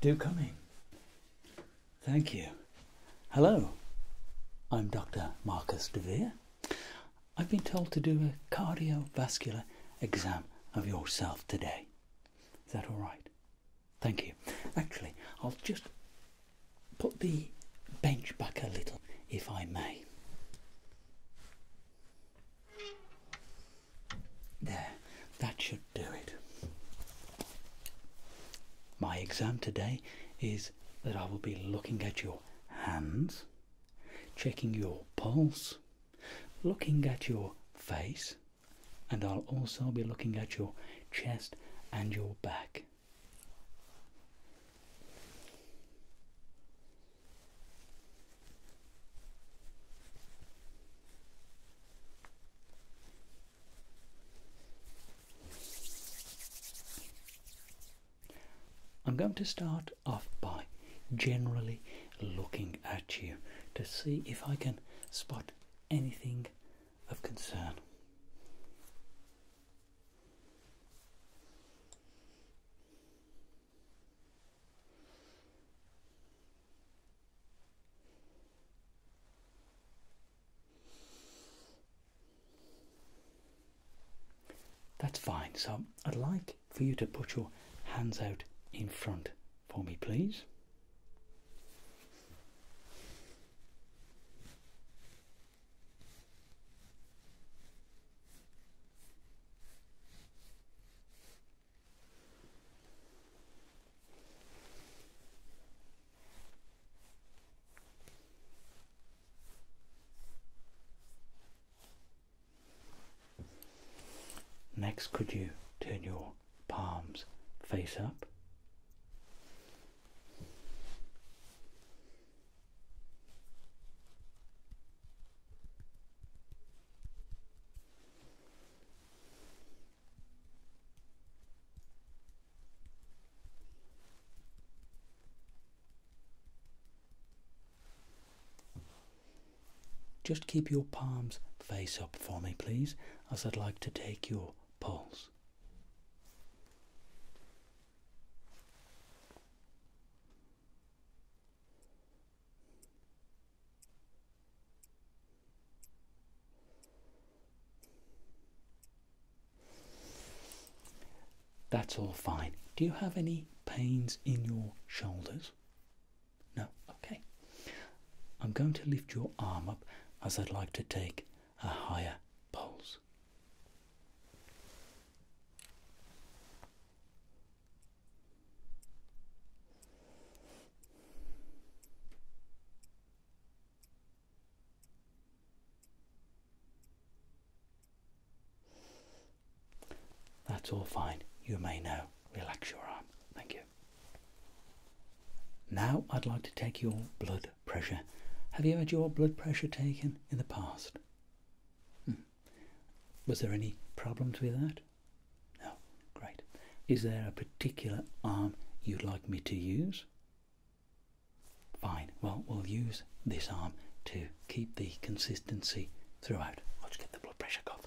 Do come in. Thank you. Hello, I'm Dr. Marcus DeVere. I've been told to do a cardiovascular exam of yourself today. Is that all right? Thank you. Actually, I'll just put the bench back a little, if I may. There, that should do it. My exam today is that I will be looking at your hands, checking your pulse, looking at your face, and I'll also be looking at your chest and your back. I'm going to start off by generally looking at you to see if I can spot anything of concern. That's fine. So I'd like for you to put your hands out in front for me, please. Next, could you turn your palms face up. Just keep your palms face up for me, please, as I'd like to take your pulse. That's all fine. Do you have any pains in your shoulders? No? Okay. I'm going to lift your arm up as I'd like to take a higher pulse. That's all fine. You may now relax your arm. Thank you. Now I'd like to take your blood pressure. Have you had your blood pressure taken in the past? Hmm. Was there any problems with that? No. Great. Is there a particular arm you'd like me to use? Fine. Well, we'll use this arm to keep the consistency throughout. Let's get the blood pressure cuff.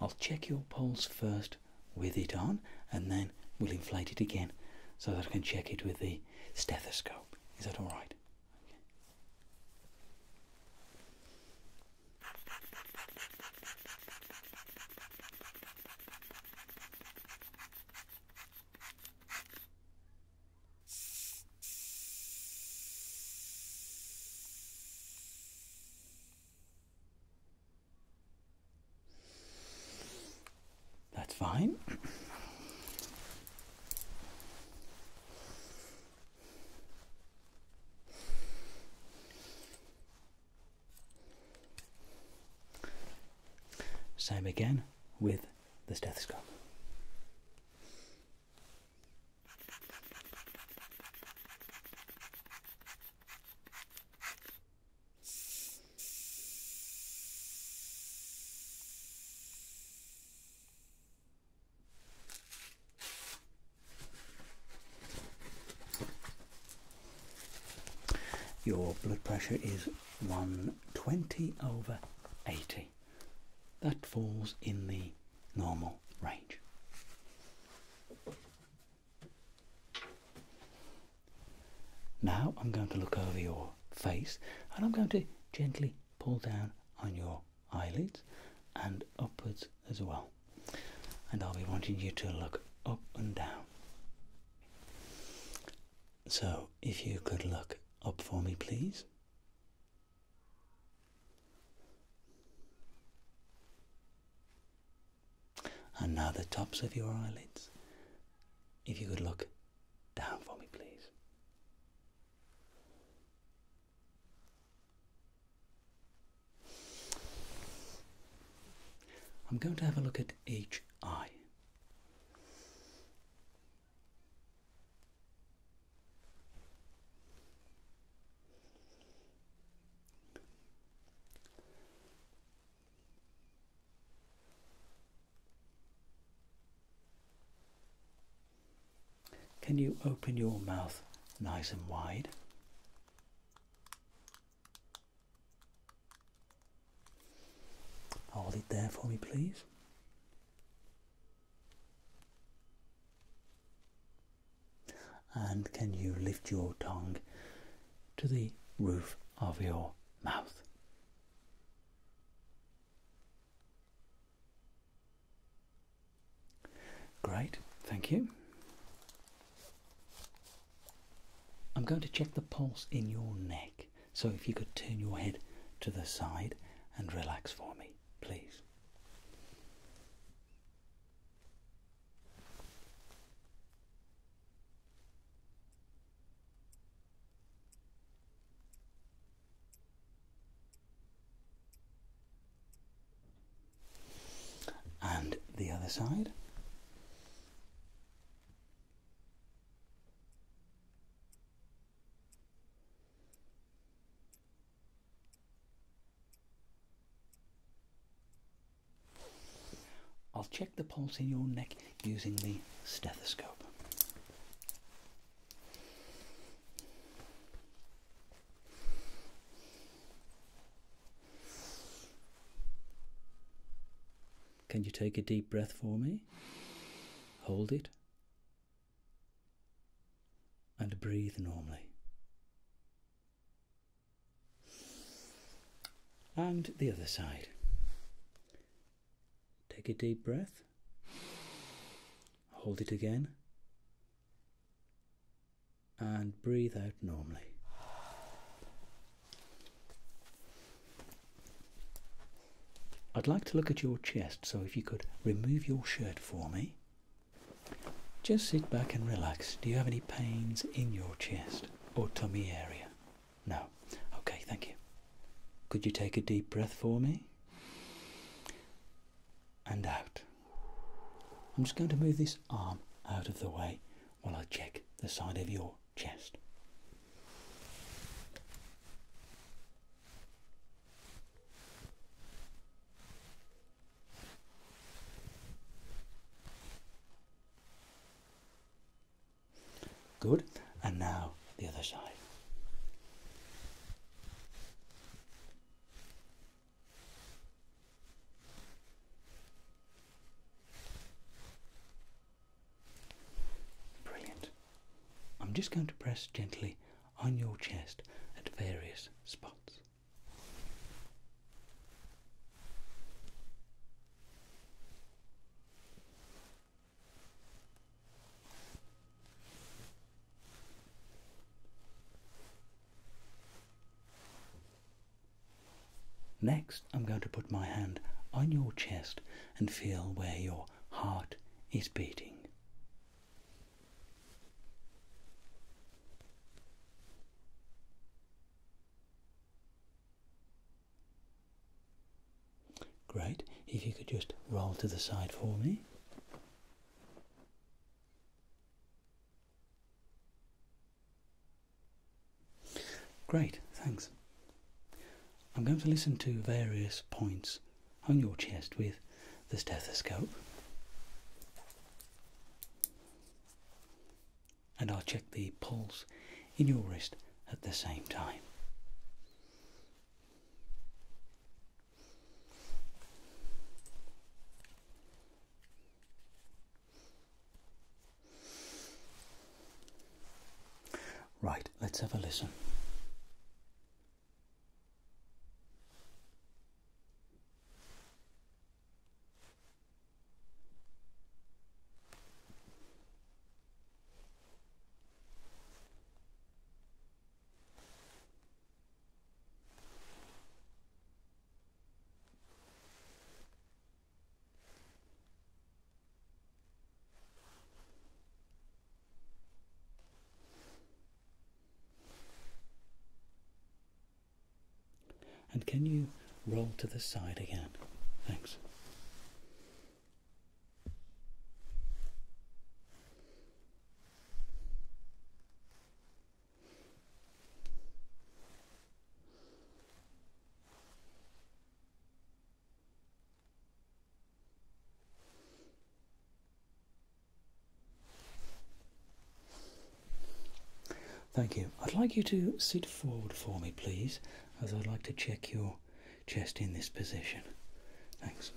I'll check your pulse first with it on and then we'll inflate it again so that I can check it with the stethoscope. Is that alright? That's fine. Same again with this the stethoscope. Your blood pressure is 120 over 80. That falls in the normal range. Now I'm going to look over your face and I'm going to gently pull down on your eyelids and upwards as well. And I'll be wanting you to look up and down. So, if you could look up for me, please. And now the tops of your eyelids. If you could look down for me, please. I'm going to have a look at each eye. Can you open your mouth nice and wide? Hold it there for me, please. And can you lift your tongue to the roof of your mouth? Great, thank you. I'm going to check the pulse in your neck. So if you could turn your head to the side and relax for me, please. And the other side. I'll check the pulse in your neck using the stethoscope. Can you take a deep breath for me? Hold it. And breathe normally. And the other side. Take a deep breath. Hold it again. And breathe out normally. I'd like to look at your chest, so if you could remove your shirt for me. Just sit back and relax. Do you have any pains in your chest or tummy area? No. Okay, thank you. Could you take a deep breath for me? And out. I'm just going to move this arm out of the way while I check the side of your chest. Good, and now the other side. Brilliant. I'm just going to press gently on your chest at various spots. Next, I'm going to put my hand on your chest and feel where your heart is beating. Great. If you could just roll to the side for me. Great, thanks. I'm going to listen to various points on your chest with the stethoscope. And I'll check the pulse in your wrist at the same time. Right, let's have a listen. And can you roll to the side again? Thanks. Thank you. I'd like you to sit forward for me, please, as I'd like to check your chest in this position. Thanks.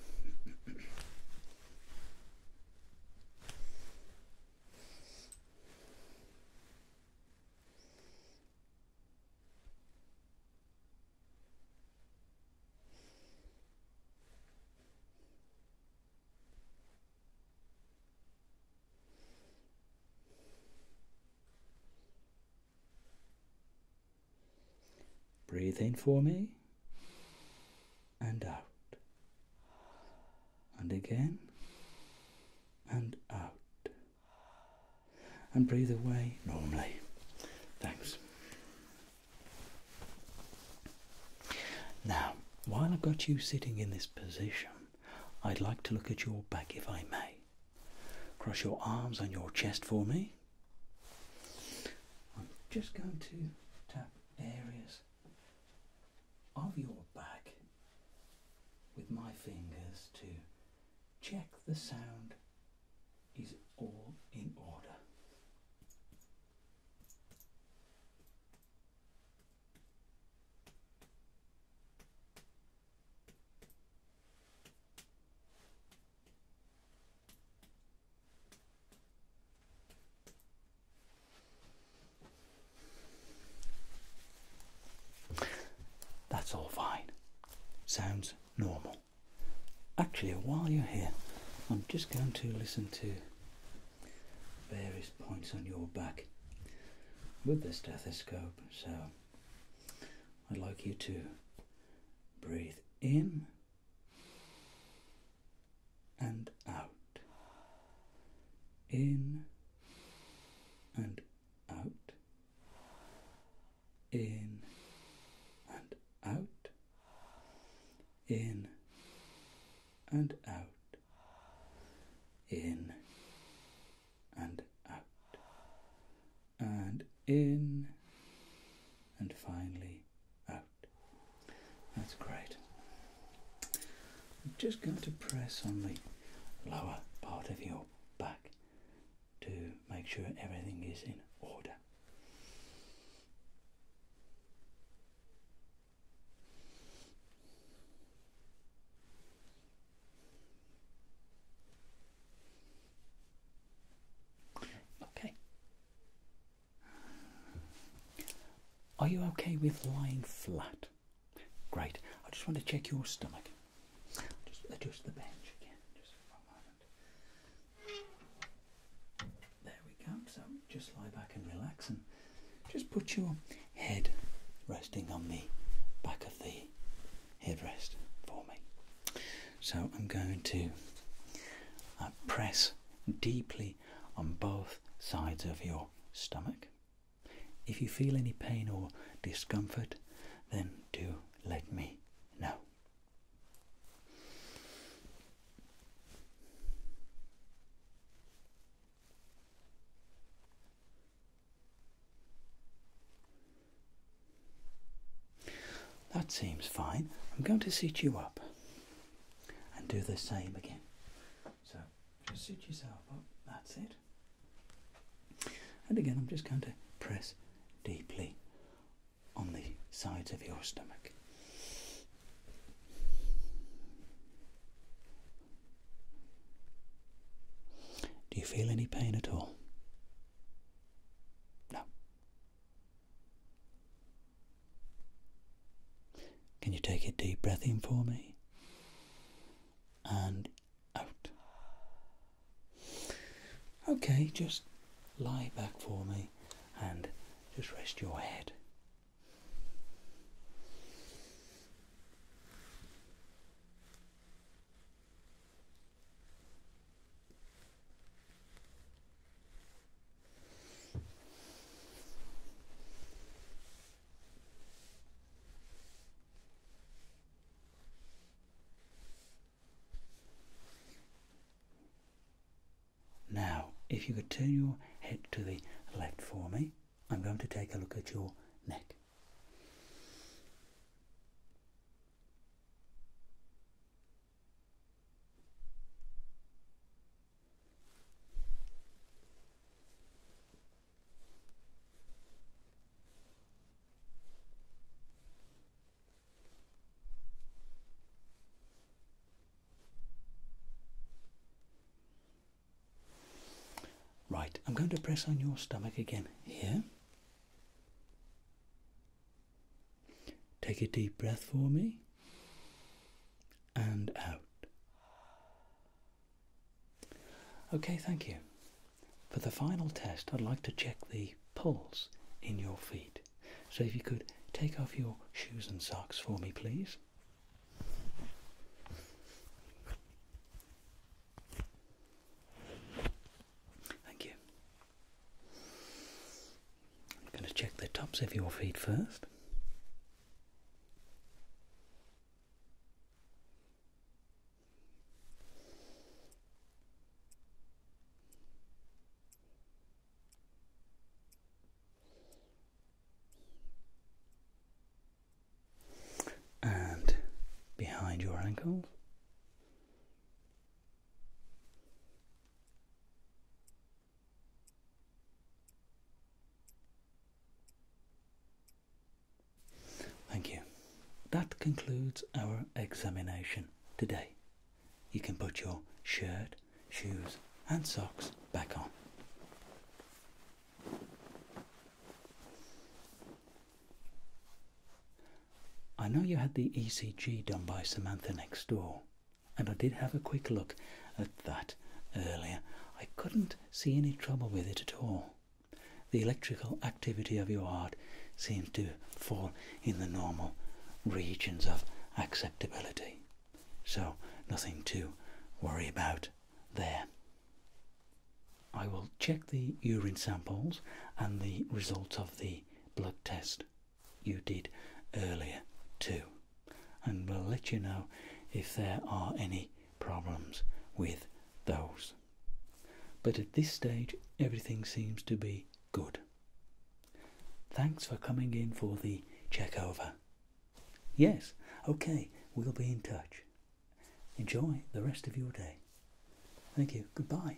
Breathe in for me and out and again and out and breathe away normally. Thanks. Now, while I've got you sitting in this position, I'd like to look at your back if I may. Cross your arms on your chest for me. I'm just going to tap areas of your bag with my fingers to check the sound is all in order. That's all fine. Sounds normal. Actually, while you're here, I'm just going to listen to various points on your back with the stethoscope. So I'd like you to breathe in and out. In and out. In and out. In and out. In and out. And in and finally out. That's great. I'm just going to press on the lower part of your back to make sure everything is in order. Okay. Are you okay with lying flat? Great. I just want to check your stomach. Just adjust the bench again, There we go. So just lie back and relax and just put your head resting on the back of the headrest for me. So I'm going to uh, press deeply on both sides of your stomach. If you feel any pain or discomfort, then do let me know. That seems fine. I'm going to seat you up and do the same again. So just suit yourself up, that's it. And again, I'm just going to press deeply on the sides of your stomach. Do you feel any pain at all? No. Can you take a deep breath in for me? And out. Okay, just lie back for me and just rest your head. Now, if you could turn your head to the left for me, I'm going to take a look at your neck. Right, I'm going to press on your stomach again here. Take a deep breath for me and out. Okay, thank you. For the final test, I'd like to check the pulse in your feet. So if you could take off your shoes and socks for me, please. Thank you. I'm going to check the tops of your feet first. And behind your ankles. Thank you. That concludes our examination today. You can put your shirt, shoes, and socks back on. I know you had the ECG done by Samantha next door, and I did have a quick look at that earlier. I couldn't see any trouble with it at all. The electrical activity of your heart seems to fall in the normal regions of acceptability. So, nothing to worry about there. I will check the urine samples and the results of the blood test you did earlier too and we'll let you know if there are any problems with those but at this stage everything seems to be good thanks for coming in for the check over yes okay we'll be in touch enjoy the rest of your day thank you goodbye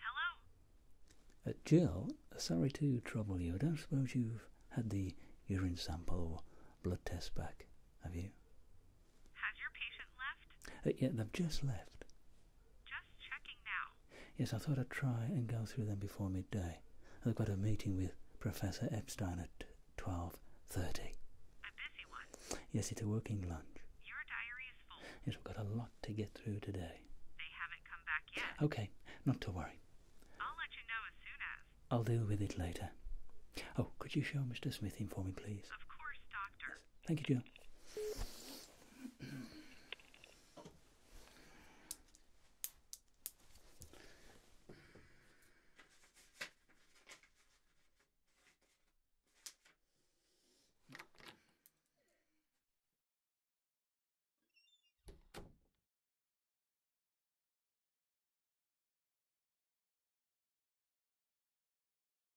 Hello. Uh, Jill, sorry to trouble you. I don't suppose you've had the urine sample blood test back, have you? Has your patient left? Uh, yeah, they've just left. Just checking now. Yes, I thought I'd try and go through them before midday. I've got a meeting with Professor Epstein at 12.30. A busy one? Yes, it's a working lunch. Your diary is full. Yes, we've got a lot to get through today. They haven't come back yet. Okay, not to worry. I'll let you know as soon as. I'll deal with it later. Oh, could you show Mr. Smith in for me, please? Of course, Doctor. Thank you, too.